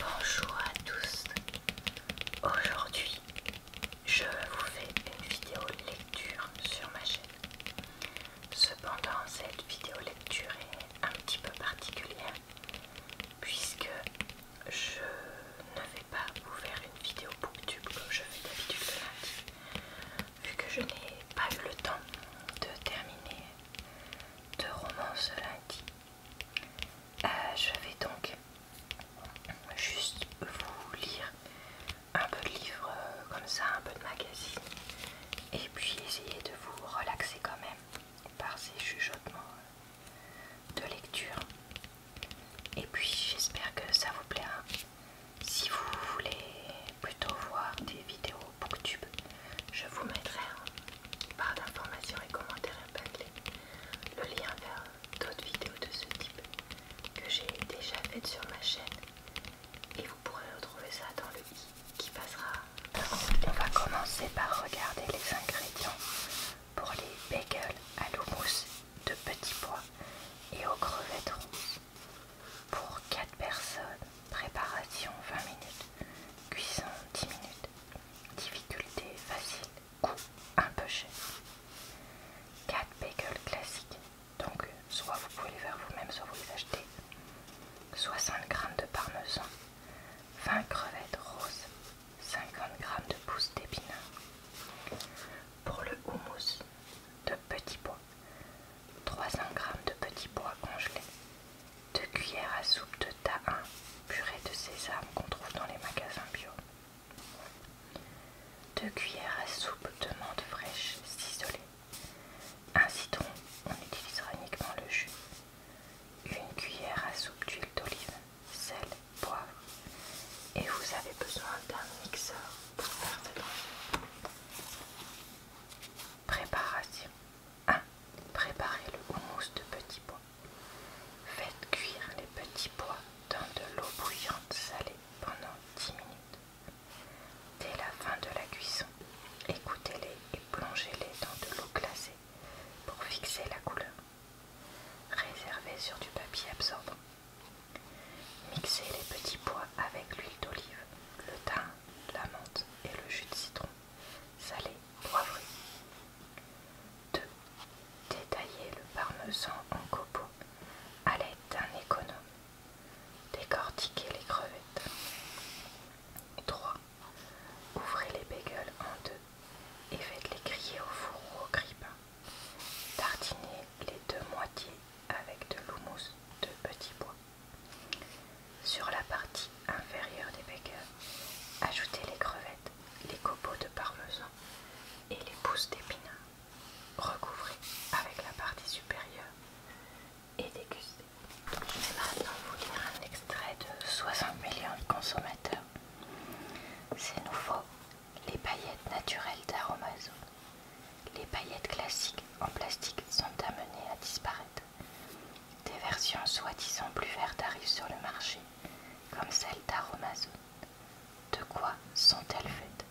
Bonjour à tous, aujourd'hui je vous fais une vidéo lecture sur ma chaîne. Cependant cette vidéo lecture est un petit peu particulière puisque je ne vais pas vous faire une vidéo booktube comme je fais d'habitude la lundi vu que je n'ai pas eu le temps de terminer de roman ce lundi. Euh, je vais donc juste vous lire un peu de livres euh, comme ça, un peu de magazine, et puis essayer de vous relaxer quand même par ces chuchotements euh, de lecture. Et puis j'espère que ça vous plaira. Si vous voulez plutôt voir des vidéos Booktube. Je vous mettrai en barre d'informations et commentaires épinglés le lien vers d'autres vidéos de ce type que j'ai déjà faites sur ma chaîne et vous pourrez retrouver ça dans le i qui passera. on va commencer par regarder les ingrédients pour les bagels à l'houmous de petits pois et aux crevettes rouges. Pour 4 personnes, préparation 20 minutes, cuisson 10 minutes, Difficulté facile, coût un peu cher. 4 bagels classiques, donc soit vous pouvez les faire vous-même, soit vous les achetez. 60 g de parmesan, 20 crevettes roses, 50 g de pousses d'épinards. Pour le houmous, de petits bois, 300 g de petits bois congelés, 2 cuillères à soupe de tahin, purée de sésame qu'on trouve dans les magasins bio. 2 cuillères à soupe de menthe fraîche ciselée. Un citron, on utilisera uniquement le jus. Une cuillère à soupe d'huile d'olive, sel, poivre. Et vous avez besoin d'un mixeur pour faire la. Préparation 1. Ah, préparez le houmous de petits pois. Faites cuire les petits pois dans de l'eau bouillante salée pendant 10 minutes. Dès la fin de la cuisson, écoutez-les et plongez-les dans de l'eau glacée pour fixer la couleur. Réservez sur du papier absorbant. Mixez les petits pois avec l'huile d'olive, le thym, la menthe et le jus de citron salé, poivré. 2. Détailler le parmesan en copeaux à l'aide d'un économe. Décortiquer les crevettes. 3. Ouvrez les bagels en deux et faites-les griller au four ou au grippin. Tartinez les deux moitiés avec de l'houmous de petit bois. Sur la partie inférieure des bakers, ajoutez les crevettes, les copeaux de parmesan et les pousses d'épinards. Recouvrez avec la partie supérieure et dégustez. Je vais maintenant vous lire un extrait de 60 millions de consommateurs. C'est nouveau, les paillettes naturelles d'Aromazo. Les paillettes classiques en plastique sont amenées à disparaître. Des versions soi-disant plus vertes arrivent sur le marché, comme celle d'Aromazone. De quoi sont-elles faites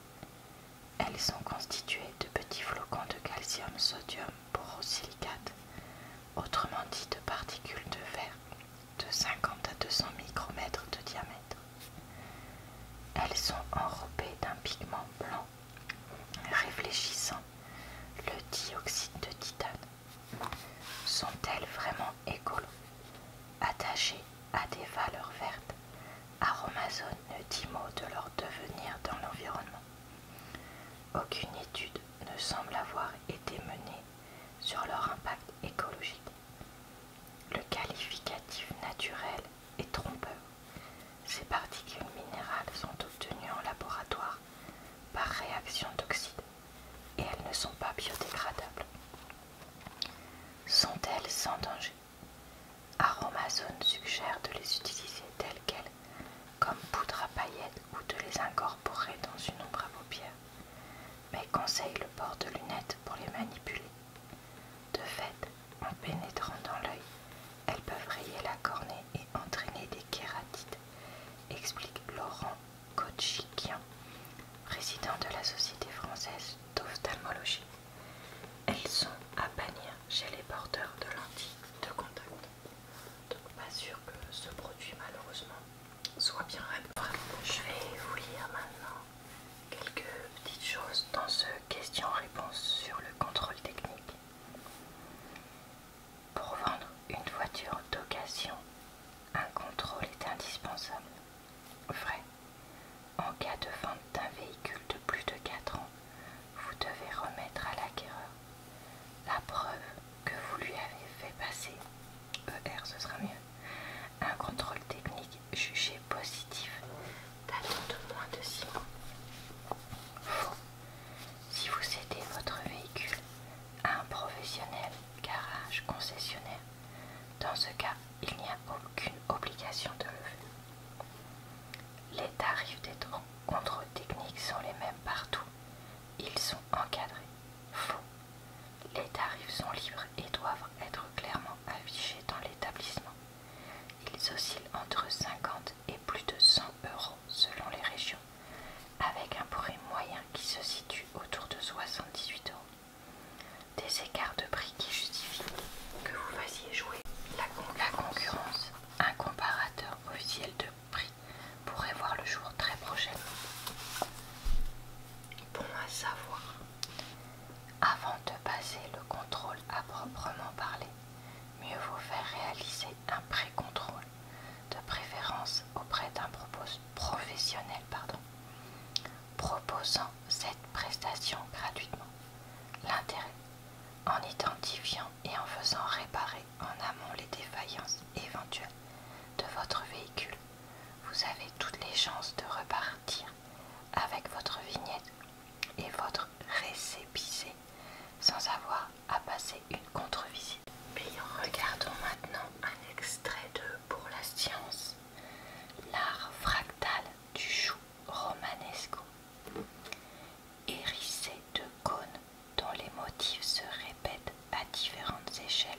Elles sont constituées de petits flocons de calcium, sodium, borosilicate, autrement dit de particules de verre de 50 à 200 micromètres de diamètre. Elles sont enrobées d'un pigment blanc réfléchissant le dioxyde de titane. Sont-elles vraiment écolos Attachées à des valeurs vertes, Aromazone ne dit mot de leur devenir dans l'environnement. Aucune étude ne semble avoir été menée sur leur impact écologique. Le qualificatif naturel et trompeurs, Ces particules minérales sont obtenues en laboratoire par réaction d'oxyde et elles ne sont pas biodégradables. Sont-elles sans danger Aromazone suggère de les utiliser telles quelles, comme poudre à paillettes ou de les incorporer dans une ombre à paupières, mais conseille le port de lunettes pour les manipuler. De fait, en pénétrant dans l'œil, elles peuvent rayer la cornée et entraîner des kératites, explique Laurent Kochikian, président de la Société française d'ophtalmologie. Elles sont à bannir chez les porteurs de lentilles de contact. Donc pas sûr que ce produit malheureusement soit bien réparé. Je vais vous lire maintenant quelques petites choses dans ce question-réponse sur le contrôle technique pour vendre une voiture d'occasion, un contrôle est indispensable. Vrai, en cas de vente d'un véhicule de plus de 4 ans, vous devez remettre à l'acquéreur la preuve que vous lui avez fait passer, ER ce sera mieux, un contrôle technique jugé positif moins de 6 Si vous cédez votre véhicule à un professionnel, garage, concessionnaire, dans ce cas, il n'y a aucune obligation de revenu. Les tarifs des contre techniques sont les mêmes partout. Ils sont encadrés. Faux. Les tarifs sont libres et doivent être clairement affichés dans l'établissement. Ils oscillent entre 50 et plus de 100 euros selon les régions, avec un prix moyen qui se situe autour de 78 euros. Des écarts de prix qui justifient que vous fassiez jouer la concurrence. Un comparateur officiel de prix pourrait voir le jour très prochainement. Bon à savoir. Avant de passer le contrôle à proprement parler, mieux vaut faire réaliser un pré-contrôle, de préférence auprès d'un professionnel proposant cette prestation gratuitement. L'intérêt, en identifiant et en faisant réparer en amont les défaillances éventuelles de votre véhicule, vous avez toutes les chances de repartir avec votre vignette et votre récépissé sans avoir à passer une contre-visite. Regardons maintenant un extrait de Pour la science, l'art fractal du chou romanesco, hérissé de cônes dont les motifs se répètent à différentes échelles.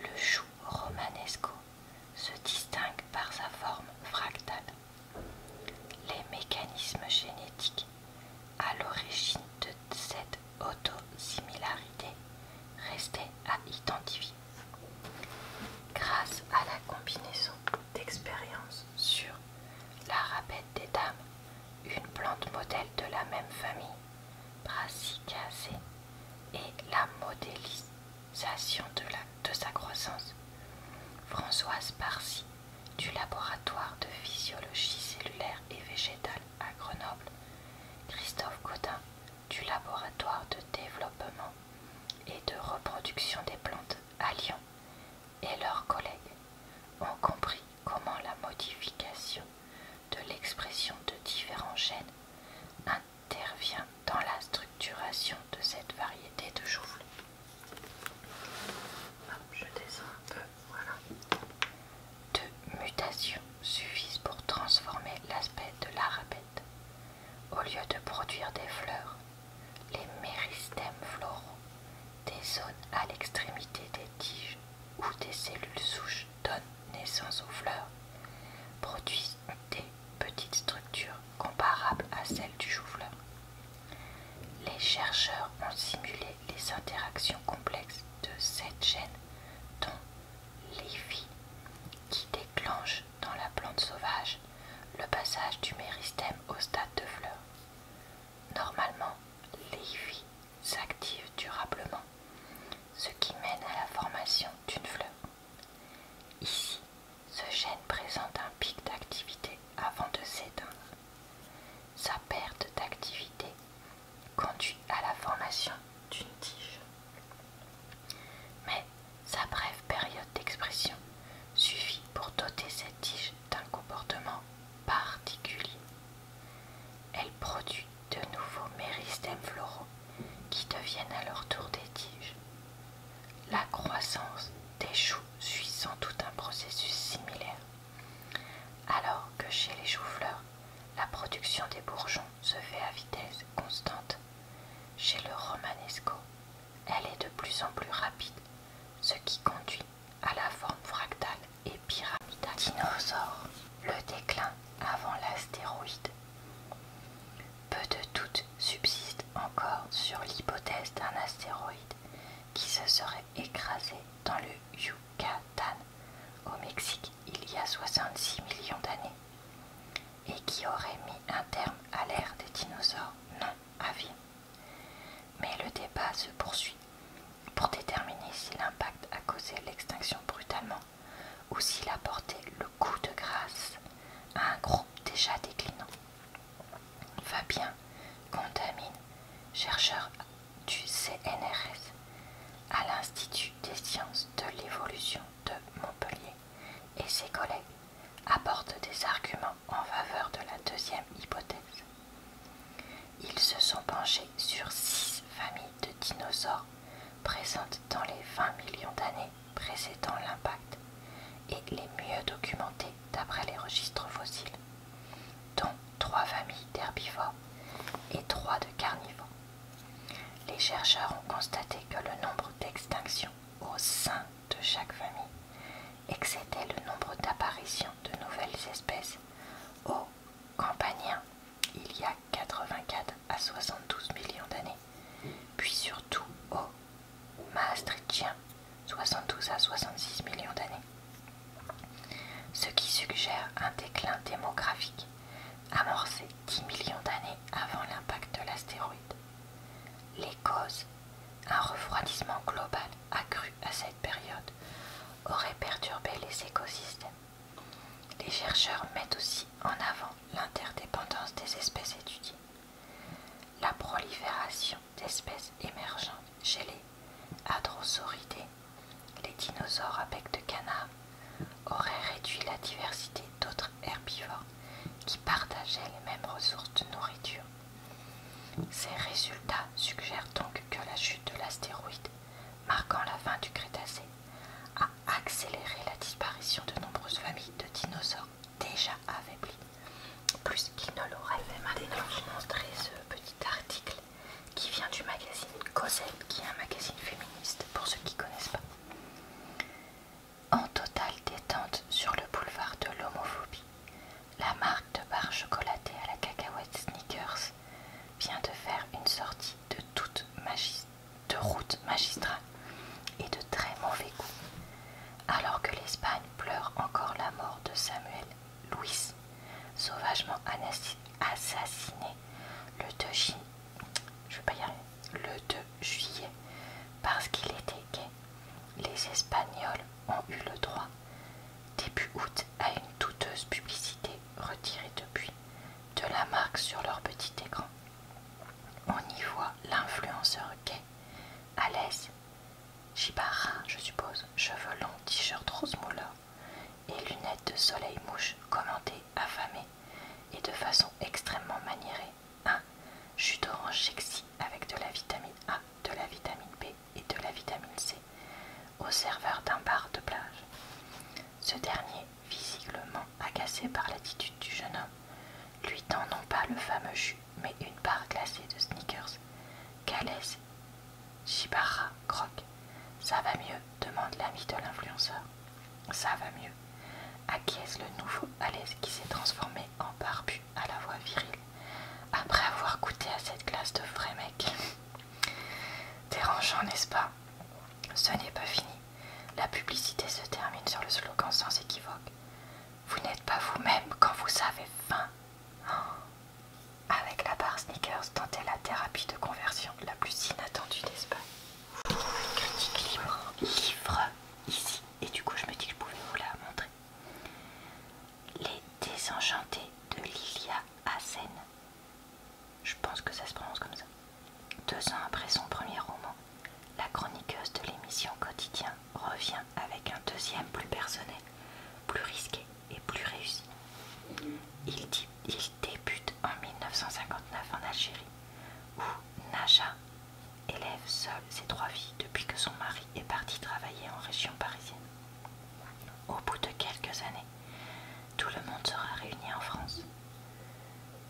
Le chou romanesco se distingue par sa forme fractale. Les mécanismes génétiques à l'origine de cette autosimilarité restaient à identifier. Grâce à la combinaison d'expériences sur la rabette des dames, une plante modèle de la même famille, Brassicacée, et la modélise de, sa croissance. Françoise Parsi, du laboratoire de physiologie cellulaire et végétale à Grenoble, Christophe Godin, du laboratoire de développement et de reproduction des plantes à Lyon, et leurs collègues ont compris comment la modification de l'expression de différents gènes, intervient dans la structuration de cette variété de chou Deux mutations suffisent pour transformer l'aspect de l'arabète. Au lieu de produire des fleurs, les méristèmes floraux, des zones à l'extrémité des tiges où des cellules souches donnent naissance aux fleurs, produisent des petites structures comparables à celles du chou-fleur. Les chercheurs ont simulé les interactions complexes de cette gène dont vies qui déclenche dans la plante sauvage le passage du méristème au stade de fleur. Normalement, vies s'active durablement, ce qui mène à la formation d'une fleur. Ici, ce gène présente un pic d'activité avant de s'éteindre. Sa perte d'activité conduit à la formation d'une tige. Mais sa brève période d'expression suffit pour doter cette tige d'un comportement particulier. Elle produit de nouveaux méristèmes floraux qui deviennent à leur tour des tiges. La croissance des choux suit sans doute un processus similaire, alors que chez les choux-fleurs, la production des bourgeons se fait à vitesse constante. Chez le romanesco, elle est de plus en plus rapide, ce qui conduit à la forme fractale et pyramidale dinosaure. Le déclin avant l'astéroïde peu de doutes subsistent encore sur l'hypothèse d'un astéroïde qui se serait écrasé dans le Yucatan au Mexique il y a 66 millions d'années et qui aurait mis un terme à l'ère des dinosaures non vie. Mais le débat se poursuit pour déterminer si l'impact a causé l'extinction brutalement ou s'il apportait le coup de grâce à un groupe déjà déclinant. Fabien Contamine, chercheur du CNRS à l'Institut des sciences de l'évolution de Montpellier, et ses collègues apportent des arguments en faveur de la deuxième hypothèse. Ils se sont penchés sur six familles de dinosaures présente dans les 20 millions d'années précédant l'impact et les mieux documentées d'après les registres fossiles, dont trois familles d'herbivores et trois de carnivores. Les chercheurs ont constaté que le nombre d'extinctions au sein de chaque famille excédait le nombre d'apparitions de nouvelles espèces au campanien il y a 84 à 72 millions d'années, puis surtout au maastrichtien 72 à 66 millions d'années, ce qui suggère un déclin démographique amorcé 10 millions d'années avant l'impact de l'astéroïde. Les causes, un refroidissement global accru à cette période, aurait perturbé les écosystèmes les chercheurs mettent aussi en avant l'interdépendance des espèces étudiées, la prolifération d'espèces émergentes chez les hadrosauridés, les dinosaures à bec de canard aurait réduit la diversité d'autres herbivores qui partageaient les mêmes ressources de nourriture. Ces résultats suggèrent donc que la chute de l'astéroïde marquant la fin du Crétacé a accéléré la disparition de nombreuses familles de dinosaures déjà affaiblis, plus qu'il ne l'aurait fait maintenant. Je vous ce petit article qui vient du magazine Cosette, qui est un magazine féministe pour ceux qui ne connaissent pas. En totale détente sur le boulevard de l'homophobie, la marque de barres chocolatée à la cacahuète Sneakers vient de faire une sortie de toute magie, de route magistrale et de très mauvais goût. Alors que l'Espagne pleure encore la mort de Samuel Louis, sauvagement assassiné le 2 le 2 juillet, parce qu'il était gay, les Espagnols ont eu le droit, début août, à une douteuse publicité retirée depuis de la marque sur leur petit écran. On y voit l'influenceur gay, à l'aise, Chibarin, je suppose, cheveux longs, t-shirt rose mouleur et lunettes de soleil mouche commentées, affamées et de façon extrêmement maniérée. Un jus d'orange sexy avec de la vitamine A, de la vitamine B et de la vitamine C au serveur d'un bar de plage. Ce dernier, visiblement agacé par l'attitude du jeune homme, lui tend non pas le fameux jus, mais une barre glacée de sneakers. Qu'allait-ce ?» Shibara, croque. Ça va mieux demande l'ami de l'influenceur. Ça va mieux. Acquiesce le nouveau Alès qui s'est transformé en barbu à la voix virile après avoir goûté à cette glace de vrai mec. Dérangeant, n'est-ce pas Ce n'est pas fini. La publicité se termine sur le slogan sans équivoque. Vous n'êtes pas vous-même quand vous avez faim. Oh. Avec la barre Sneakers, tentez la thérapie de conversion la plus inattendue d'Espagne. Une critique libre, livre, ici. Et du coup, je me dis que je pouvais vous la montrer. Les désenchantés de Lilia Hassen je pense que ça se prononce comme ça. Deux ans après son premier roman, la chroniqueuse de l'émission Quotidien revient avec un deuxième plus personnel, plus risqué et plus réussi. Il, débute en 1959 en Algérie, où Naja élève seule ses trois filles depuis que son mari est parti travailler en région parisienne. Au bout de quelques années, tout le monde sera réuni en France.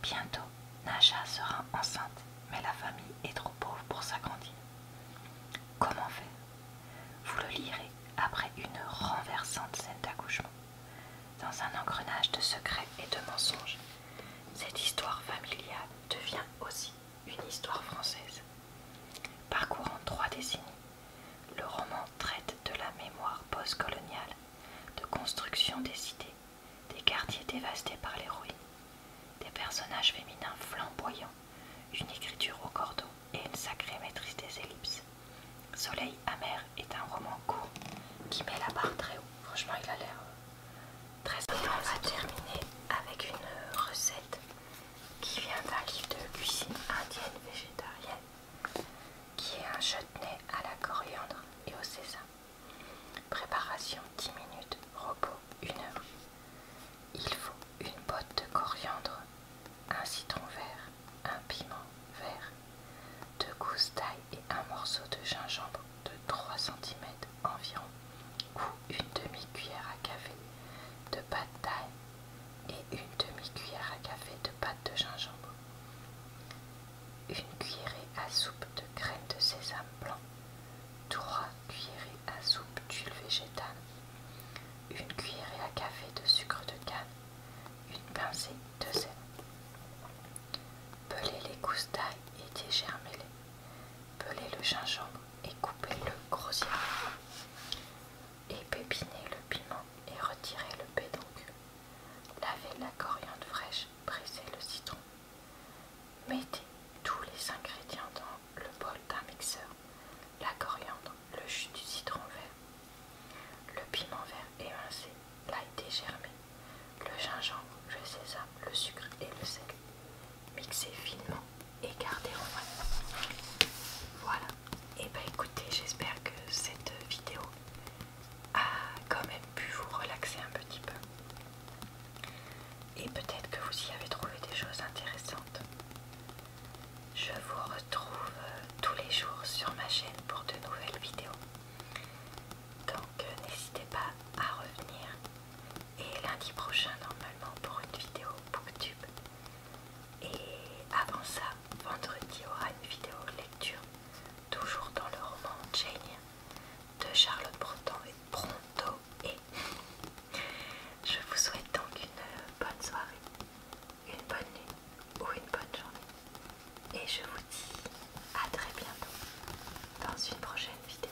Bientôt, Naja sera enceinte, mais la famille est trop pauvre pour s'agrandir. Comment faire Vous le lirez après une renversante scène d'accouchement. Dans un engrenage de secrets et de mensonges, cette histoire familiale devient aussi une histoire française. Parcourant trois décennies, le roman traite de la mémoire post-coloniale, de construction des cités, des quartiers dévastés par les ruines, des personnages féminins flamboyants, une écriture au cordeau et une sacrée maîtrise des ellipses. Soleil amer est un roman court qui met la barre très haut. Franchement, il a l'air euh, très On va terminer avec une euh, recette qui vient d'un livre de cuisine indienne végétarienne, qui est un chutney à la coriandre et au sésame. Préparation 10 minutes, repos 1 heure. Il faut une botte de coriandre, un citron vert, un piment vert, deux gousses d'ail et un morceau de gingembre de 3 cm environ, ou une demi-cuillère à café de pâte d'ail et une demi-cuillère à café de pâte de gingembre, une cuillerée à soupe de graines de sésame blanc, Trois cuillerées à soupe d'huile végétale, une cuillerée à café de sucre de canne, une pincée de sel. Pelez les gousses d'ail et dégermez-les. Pelez le gingembre et coupez-le grossièrement et pépiner le piment et retirer le pédoncule. Lavez la coriandre fraîche, brisez le citron. Mettez tous les ingrédients dans le bol d'un mixeur. La coriandre, le jus du citron vert, le piment vert émincé, l'ail dégermé, le gingembre, le sésame, le sucre et le sel mixer finement et garder au frais. Voilà. Et eh bah ben, écoutez, j'espère que cette vidéo a quand même pu vous relaxer un petit peu. Et peut-être que vous y avez trouvé des choses intéressantes. Je vous retrouve tous les jours sur ma chaîne pour de nouvelles vidéos. Donc n'hésitez pas à revenir et lundi prochain normalement pour une vidéo booktube et avant ça vendredi aura une vidéo lecture toujours dans le roman Jane de Charlotte Bronton et Pronto. et je vous souhaite donc une bonne soirée une bonne nuit ou une bonne journée et je vous dis à très bientôt dans une prochaine vidéo